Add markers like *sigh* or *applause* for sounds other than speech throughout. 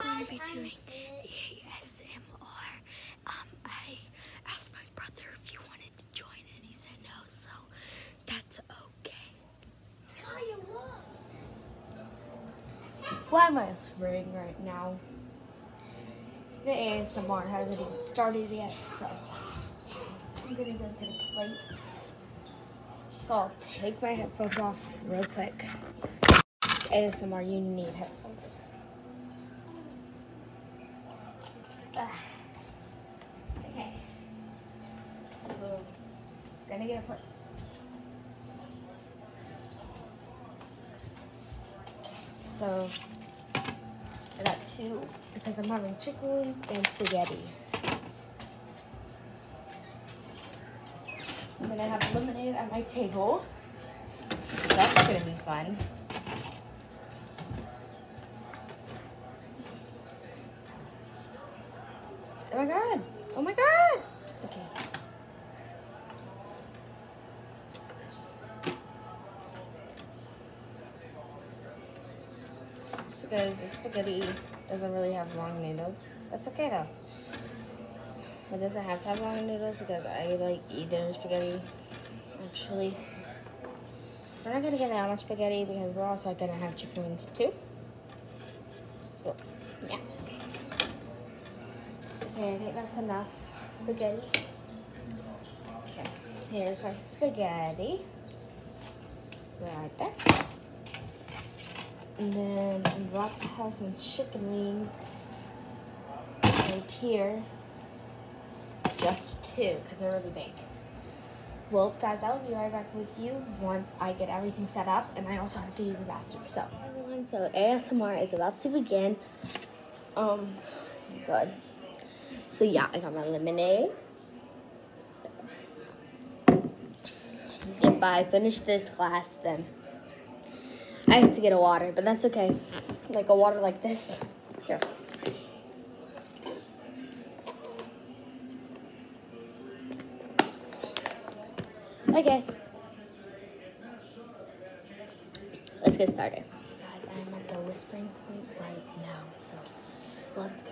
I'm going to be doing ASMR. Um, I asked my brother if he wanted to join and he said no, so that's okay. Why am I sweating right now? The ASMR hasn't even started yet, so I'm gonna go get a plate. So I'll take my headphones off real quick. ASMR, you need headphones. Ugh. Okay. So, gonna get a plate. So, I got two because I'm having chicken wings and spaghetti. I'm gonna have lemonade at my table that's going to be fun. Oh my god. Oh my god. Okay. because the spaghetti doesn't really have long noodles. That's okay though. It doesn't have pepperoni noodles because I like either spaghetti Actually, We're not gonna get that much spaghetti because we're also gonna have chicken wings too. So, yeah. Okay, I think that's enough spaghetti. Okay, here's my spaghetti. Right there. And then I'm about to have some chicken wings right here. Just two, because they're really big. Well, guys, I will be right back with you once I get everything set up, and I also have to use the bathroom. So, everyone, so ASMR is about to begin. Um, good. So yeah, I got my lemonade. If I finish this class, then I have to get a water, but that's okay. Like a water like this. Here. Okay. Let's get started. Guys, I'm at the whispering point right now, so let's go.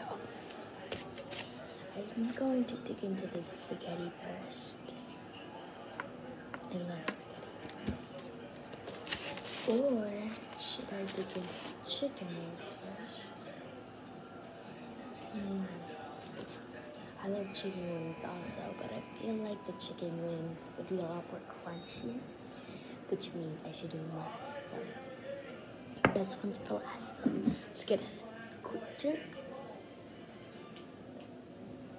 I'm going to dig into the spaghetti first. I love spaghetti. Or should I dig in chicken wings first? Mm. I love chicken wings also, but I feel like the chicken wings would be a lot more crunchy, which means I should do last So best ones for last. So let's get a quick check.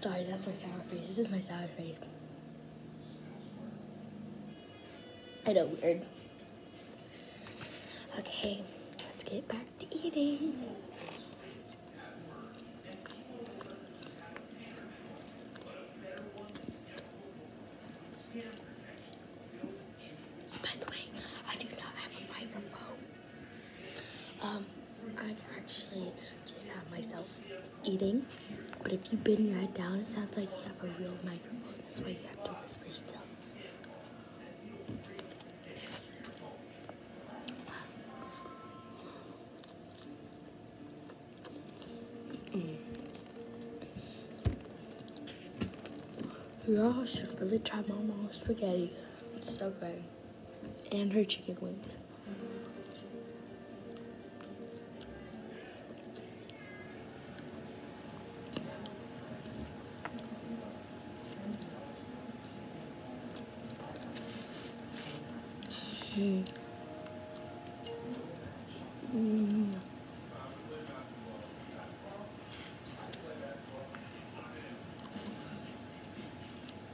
Sorry, that's my sour face. This is my sour face. I know, weird. Okay, let's get back to eating. By the way, I do not have a microphone. Um, I can actually just have myself eating, but if you bend your head down, it sounds like you have a real microphone. That's why you have to whisper still. Mm. Y'all should really try Mama's spaghetti. It's so good and her chicken wings. Mm. Mm.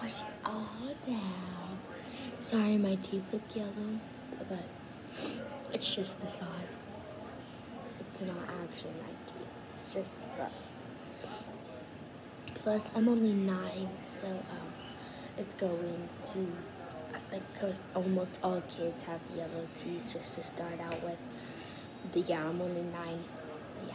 Wash it all down. Sorry, my teeth look yellow, but it's just the sauce. It's not actually my teeth. It's just sauce. Plus, I'm only nine, so um, it's going to like because almost all kids have yellow teeth just to start out with. But yeah, I'm only nine, so yeah.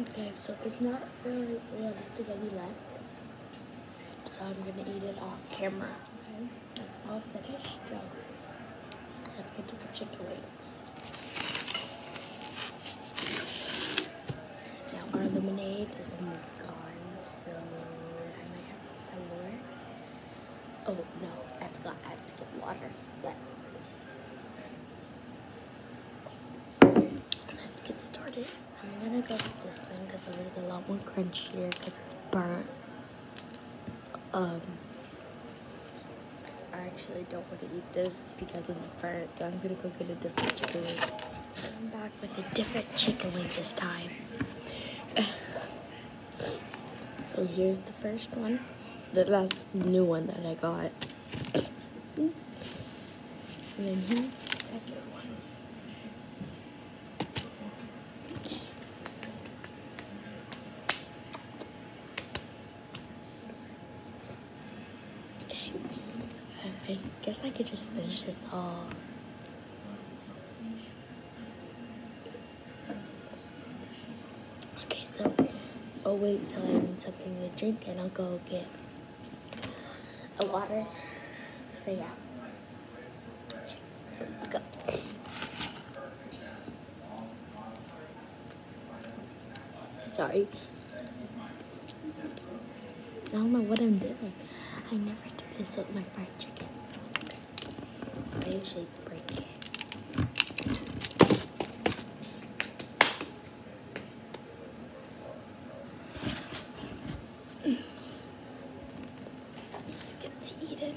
Okay, so it's not really a lot of spaghetti left, so I'm going to eat it off camera. Okay, that's all finished, so let's get to the chicken wings. Now our lemonade is almost gone, so I might have to get some more. Oh no, I forgot I have to get water, but let's get started. I'm gonna go with this one because it it is a lot more crunchier because it's burnt. Um, I actually don't want to eat this because it's burnt, so I'm gonna go get a different chicken wing. I'm back with a different chicken wing this time. *laughs* So here's the first one. the last new one that I got. and then here's the second one. okay. I guess I could just finish this all. Okay, so I'll wait till I need something to drink and I'll go get a water. So yeah. let's go. Sorry. I don't know what I'm doing. I never do this with my fried chicken. I usually break it. Let's get to eating.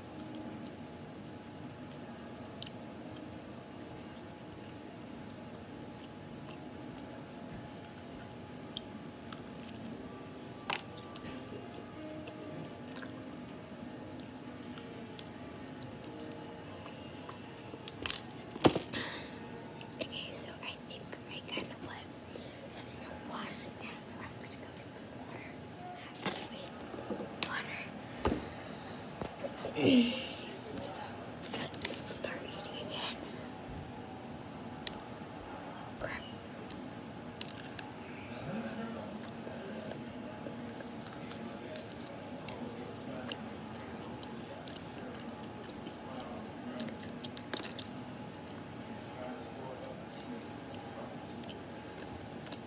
Okay, so I think I kind of what so they can wash it down so I'm going to go get some water. Halfway water. so let's start eating again. Crap.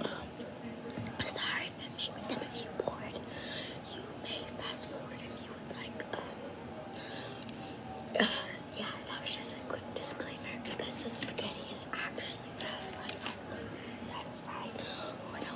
Um, sorry if it makes some of you bored. You may fast forward if you would like. Um, uh, yeah, that was just a quick disclaimer because the spaghetti is actually satisfying. satisfying or not?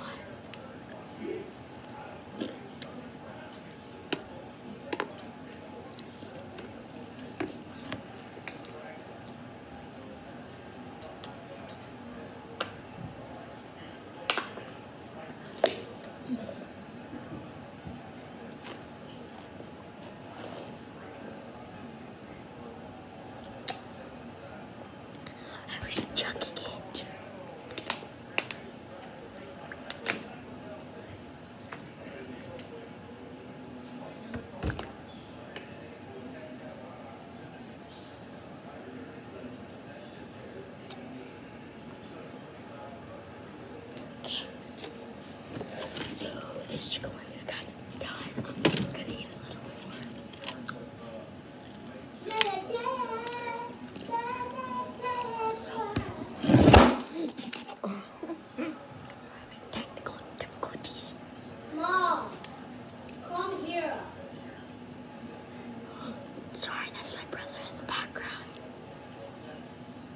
I was chucking it. So this chicken wing is kind of done. I'm just gonna eat a little more. So. *laughs* Technical difficulties. Mom, come here. Sorry, that's my brother in the background.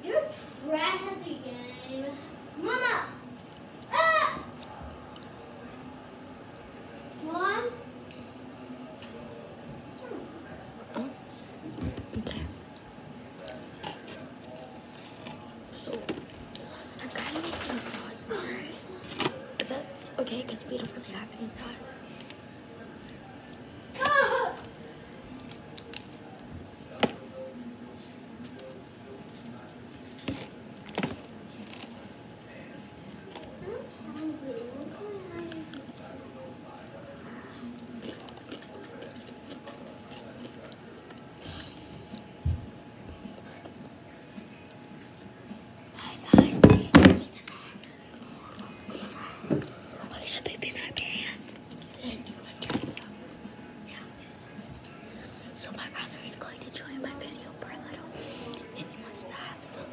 You're trash at the game. Mama! Ah! Mom? Oh. Okay. So, I kind of think I saw but that's okay because we don't really have any sauce. Hi guys, I'm gonna baby my pants and you want to some. Yeah. So my brother is going to join my video for a little and he wants to have some.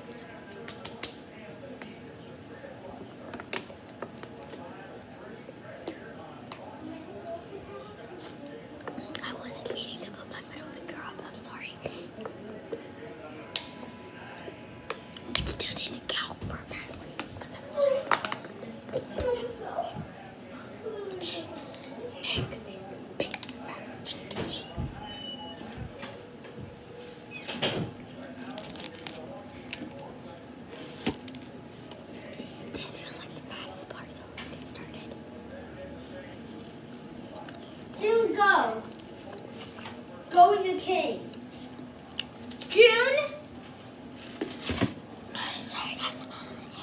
I wasn't waiting to put my my middle finger up. I'm sorry. It still didn't count for that because I was trying. That's Next is the big fat This feels like the baddest part, let's get started. Soon go. Go in your cave. June. Sorry guys. I love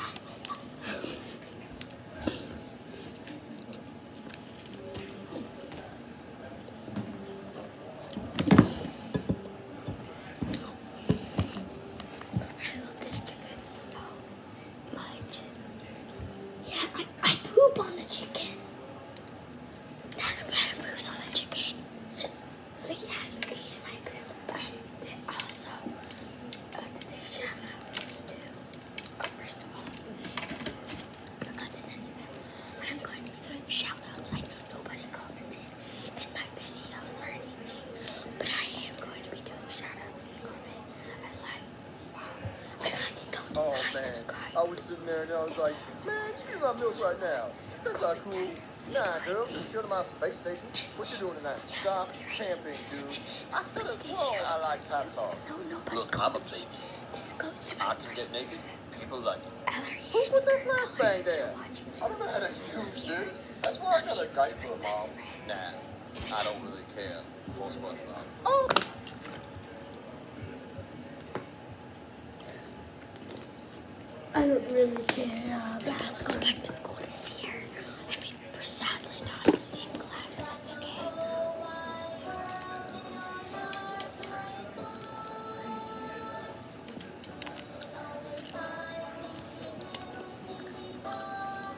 this chicken so March. Yeah, I, I poop on the chicken. That's poops on the chicken. But yeah, uh, uh, you can my poop. also, I am going to be doing I know nobody commented in my videos or anything, but I am going to be doing shout outs if you I like Oh man, I was sitting there and I was like, man, give me my milk right now. That's not cool. Nah, girl, you're to my space station. What you doing tonight? Stop camping, dude. I could have sworn I like hot sauce. Look, I'm a baby. This goes to I can get naked. People like it. Who put that flashbang there? I've never had a huge dude. That's why I got a for a mom. Nah, I don't really care. Oh! I don't really care uh, I'm going back to school this year. I mean, we're sadly not in the same class, but that's okay.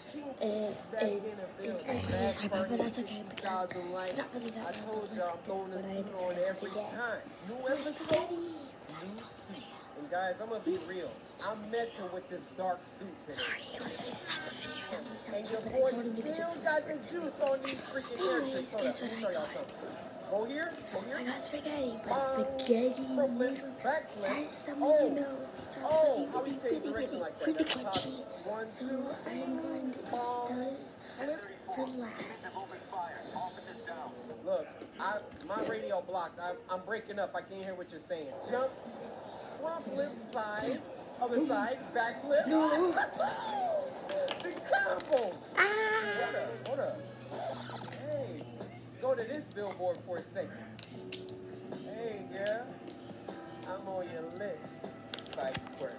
it, eh, eh, it's, it's very close to but that's okay because it's not really that loud, but like I every time. And guys, I'm gonna be real. I'm messing with this dark suit today. Sorry, it was a second video. So and your boy still got the juice on these freaking Anyways, I got? Go here, go here. I got spaghetti, um, spaghetti noodles. someone oh, knows these are oh, pretty, pretty, pretty, pretty, pretty so i I'm going to just last. Look, I, my radio blocked. I'm, I'm breaking up. I can't hear what you're saying. Jump, front flip side, other side, back flip. the combo. Ah. Hold up, billboard for a second. Hey, girl. I'm on your lip. Spike work.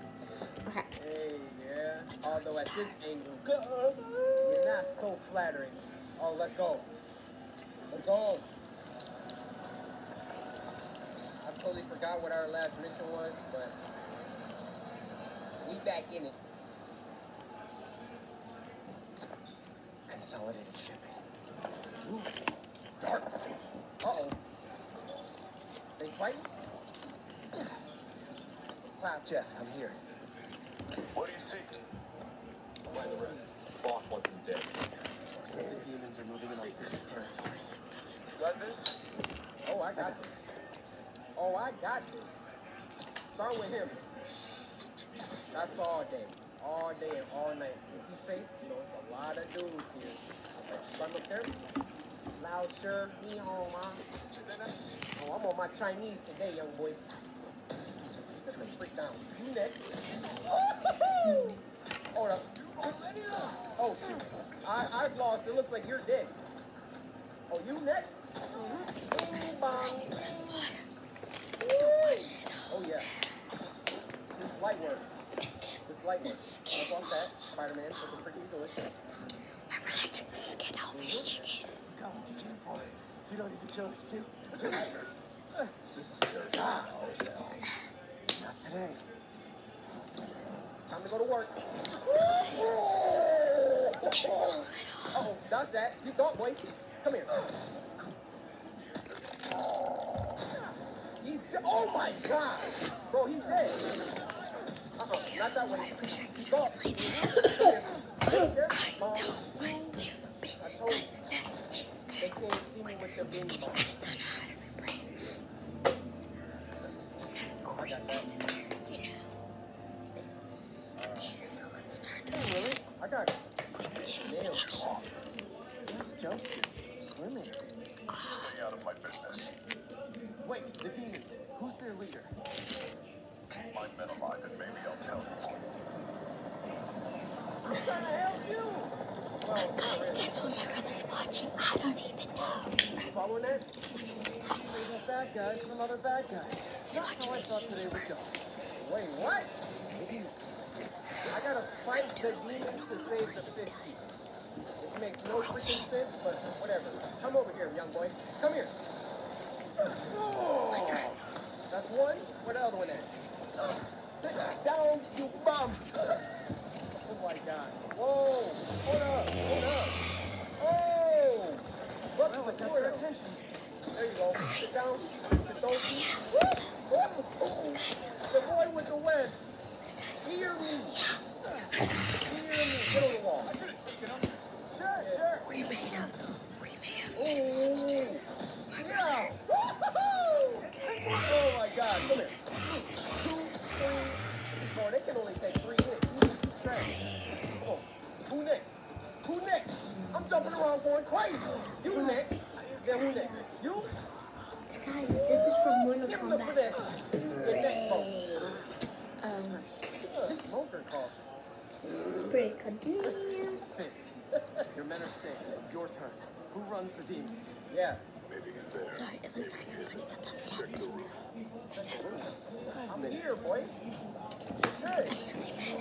Okay. Hey, girl. Although at this angle, you not so flattering. Oh, let's go. Let's go. I totally forgot what our last mission was, but we back in it. Consolidated shipping. Ooh. Dark thing. oh They fighting? Cloud *sighs* Jeff, I'm here. What do you see? Find the rest. Boss wants them dead. Except the demons are moving in off this territory. You got this? Oh, I got this. Oh, I got this. Start with him. That's all day all day and all night. Is he safe? You know, it's a lot of dudes here. But I'm Loud, sure. Me home, huh? Oh, I'm on my Chinese today, young boys. Sit the freak down. You next. *laughs* Hold up. Oh, shoot. I, I've lost. It looks like you're dead. Oh, you next? Oh, yeah. This light work. This light the skin off that. Spider-Man took a freaking bullet. Remember I took the skin off his chicken? You got what you came for. You don't need to kill us, too. this is terrifying. Ah. Not today. Time to go to work. It's so oh, good. Oh, I can oh. swallow it all. Oh, that's that. You thought, boy. Come here. He's dead. Oh my god! Bro, he's dead. Uh -oh, not that one. I wish *coughs* *coughs* I could oh. play that. I don't want to because that is they can't see me with the just kidding, I just don't know how to replay. I'm not quick at, you know. Okay, so let's start. Hey, really? I got Stay out of my business. Wait, the demons. Who's their leader? Keep my men alive and maybe I'll tell you. I'm trying to help you! Well, but guys, really. guess what watching? I don't even know. You following that? Save bad guys from other bad guys. Not how I thought today would Wait, what? I gotta fight the demons to save the fishies. This makes no freaking sense, but whatever. Come over here, young boy. Come here. Oh. That's one. Where the other one at? down, you bum. Oh my god. Whoa. Hold up. Hold up. Oh. What's well, the attention? There you go. Sit down. Oh, Sit down. Woo. The boy with the web. Hear me. Hear me. Get on the wall. I could have taken him. Sure, sure. We made him. We made him. Oh. Yeah. oh my God. Come here. They can only take three hits. Come on. Who next? Who next? I'm jumping around going crazy. You next. Then who next? You? this is from Mortal Kombat. Um, break continue. Fisk, your men are safe. Your turn. Who runs the demons? Yeah. Sorry, it looks like everybody got thumbs up. That's it. I'm here, boy. Hey.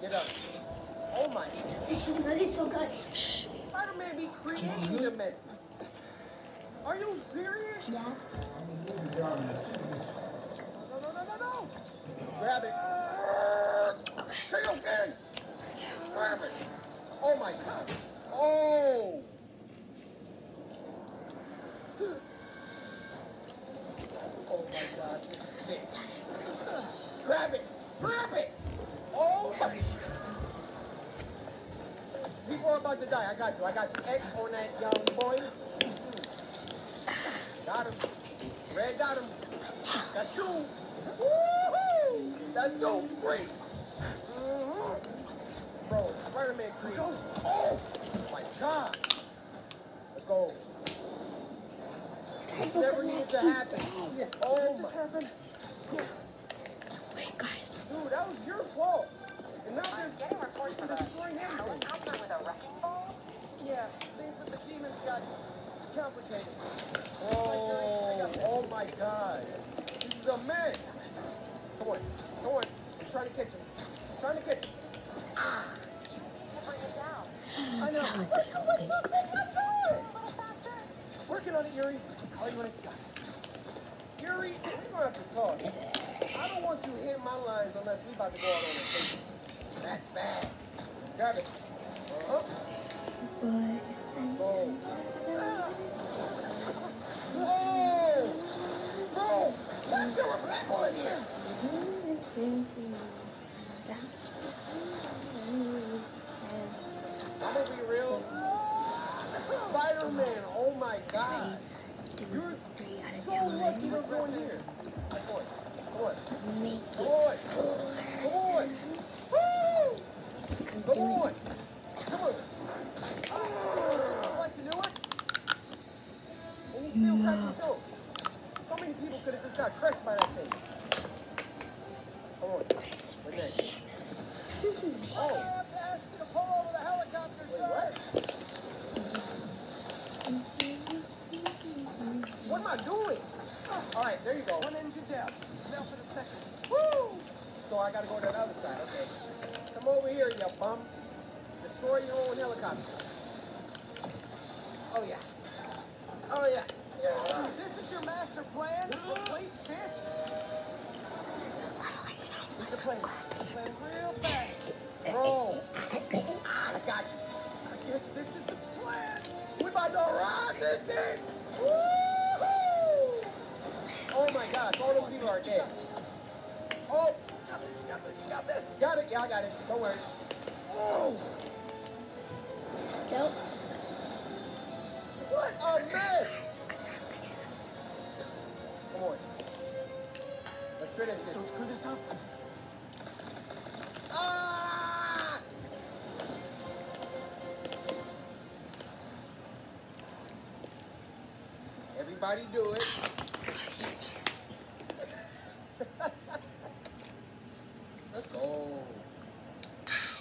Get up. Oh my. It's so good. Spider-Man be creating the messes. Are you serious? Yeah. No, no, no, no, no. Grab it. Okay. Take okay. Grab it. Oh my god. Oh. Oh my god, this is sick. Grab it. Grab it. Oh shit! Oh about to die. I got you. I got you. X on that young boy. Got him. Red got him. That's two. Woohoo! That's so great. Mm -hmm. Bro, Spider-Man 3. Oh my god. Let's go. This never needed to Oh that just Wait, guys. Dude, that was your fault. now they're getting reports of destroying everything. Out there with a wrecking ball. Yeah, things with the demons got complicated. Oh, oh my god. This is a mess. Come on, come on. I'm trying to catch him. I'm trying to catch him. Ah. I know. That was so what the heck I know it? Little faster. Working on it, Yuri. Call you when it's done. Yuri, we're gonna have to talk. I don't want you hitting my lines unless we about to go out on a date. That's bad. Got it. Uh-huh. Let's go. Whoa! Bro, what's there with people in here? I'm gonna be real. Spider-Man, oh my god. You're three out of so lucky we're going here. Boy, boy, Make boy, boy, woo! Come on, come on. Oh, like do it. And still cracking jokes. So many people could have just got crushed by that thing. Oh, that's oh, What am I doing? All right, there you go. One engine down. Now for the second. Woo! So I gotta go to the other side, okay? Come over here, you bum. Destroy your old helicopter. Oh, yeah. Oh, yeah. This is your master plan? Replace this? We can play, play real fast. Roll. I got you. I guess this is the plan. We about to rock this thing. Oh, my gosh. All those people are dead. Oh. Got this, got this, got this. Got it. Yeah, I got it. Don't worry. Oh. Nope. What a mess! Come on. Let's finish this. Don't screw this up. Ah! Everybody do it. *laughs* Let's go.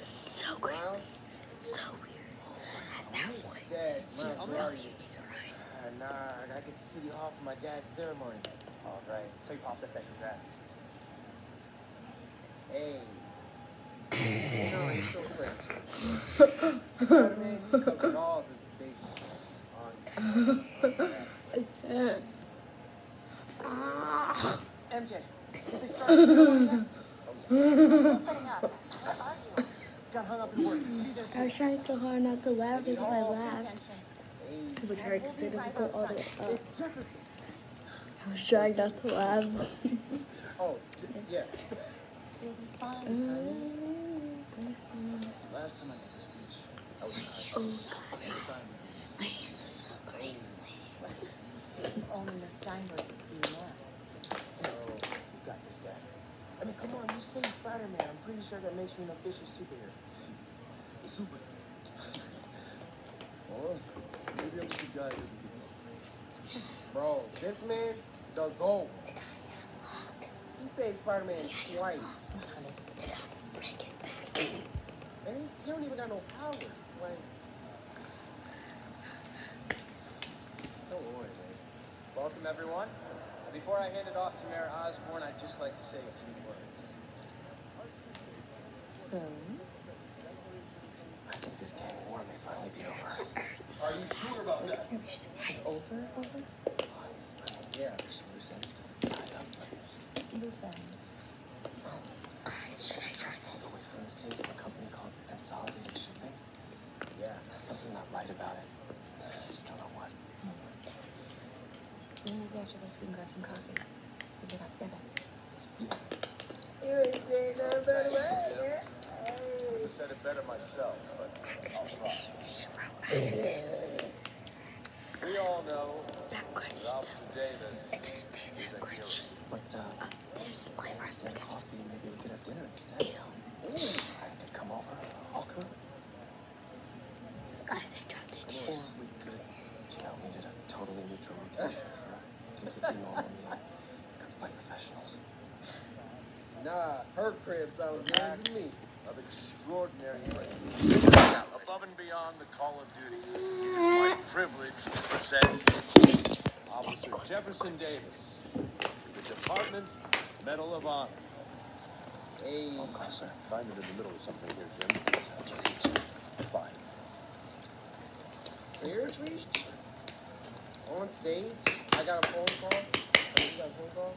So great. So weird. And that one. She was you need to ride. Uh, nah, I gotta get to City Hall for my dad's ceremony. All right. Tell your pops I said congrats. Hey. you know, he's so French. *laughs* I can MJ, did they start setting *laughs* Got hung up in work. I was trying so hard not to laugh because I laughed, it hurt because it all the way up. I was trying not to laugh. *laughs* oh, yeah. *laughs* Oh, my hands are so greasy. If only Miss Steinberg could see you now. Oh, got this, Dad. I mean, come on, you say Spider-Man. I'm pretty sure that makes you an official superhero. Super. or maybe I'm just a guy that doesn't give up. Bro, this man, the GOAT. He said Spider-Man twice. And he you don't even got no powers. Like, Welcome, everyone. Before I hand it off to Mayor Osborne, I'd just like to say a few words. So? I think this gang war may finally be over. *laughs* Are you sure about that? It's over, over? Yeah, there's some loose ends to be tied up. Loose ends should I try this? Away from the sea from a company called Consolidated Shipping. Yeah, something's not right about it. I just don't know what. Hmm. Maybe after this we can grab some coffee. Figure it out together. You ain't saying nothing about it, I said it better myself, but I'll try. Zero out do. We all know that crunchy stuff. it just tastes like crunchy. But uh, uh, there's flavors. And coffee, maybe we could have dinner instead. Ew. Ooh. I could come over. I'll cook. Guys, I dropped it in. we could. Janelle needed a totally neutral *laughs* location for a completely normal meal cooked by professionals. Nah, her crib sounds me. Of extraordinary range. *laughs* Above and beyond the call my privilege to Officer Jefferson Davis the Department Medal of Honor. Hey. Oh, God, in the middle of something here, Jim. That's how it On stage? I got a phone call? you got a phone call?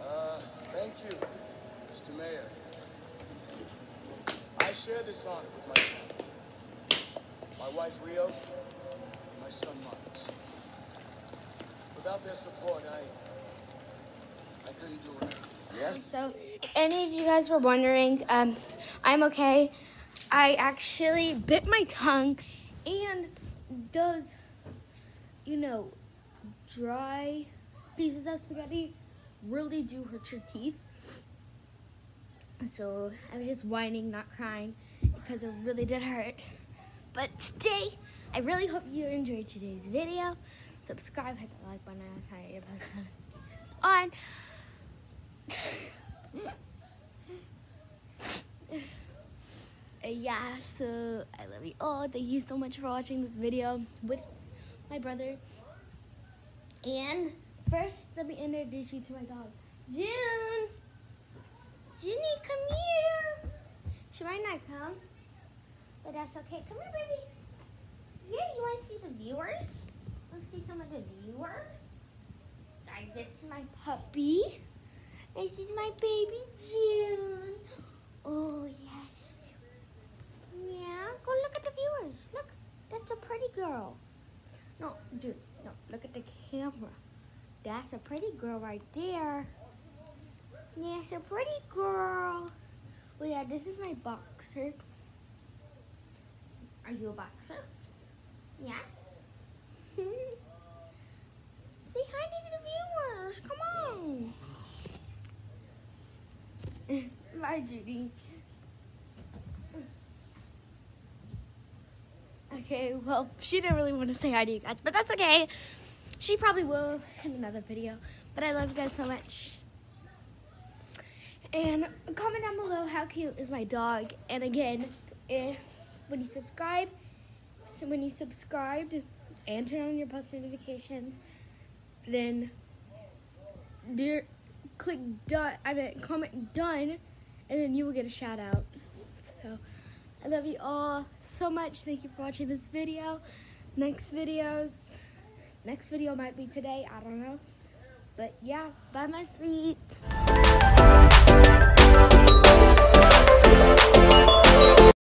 Uh, thank you, Mr. Mayor. I share this honor with my My wife, Rio, and my son, Miles. Without their support, I, I couldn't do it. Yes? So, any of you guys were wondering, um, I'm okay. I actually bit my tongue and those, you know, dry pieces of spaghetti really do hurt your teeth. So I was just whining, not crying, because it really did hurt. But today, I really hope you enjoyed today's video. Subscribe, hit the like button, and I'll tell you about on. *laughs* yeah, so I love you all. Thank you so much for watching this video with my brother. And first, let me introduce you to my dog, June. Ginny, come here. She might not come, but that's okay. Come here, baby. Yeah, you want to see the viewers? Want to see some of the viewers? Guys, this is my puppy. This is my baby, June. Oh, yes. Yeah, go look at the viewers. Look, that's a pretty girl. No, dude, no, look at the camera. That's a pretty girl right there. Yes, yeah, a pretty girl. Oh, yeah, this is my boxer. Are you a boxer? Yeah. *laughs* Say hi to the viewers. Come on. *laughs* Bye, Judy. Okay, well, she didn't really want to say hi to you guys, but that's okay. She probably will in another video. But I love you guys so much. And comment down below how cute is my dog. And again, if, eh, when you subscribe so when you subscribe and turn on your post notifications, then there, click done, I meant comment done, and then you will get a shout out. So I love you all so much. Thank you for watching this video. Next videos, next video might be today, I don't know. But yeah, bye my sweet.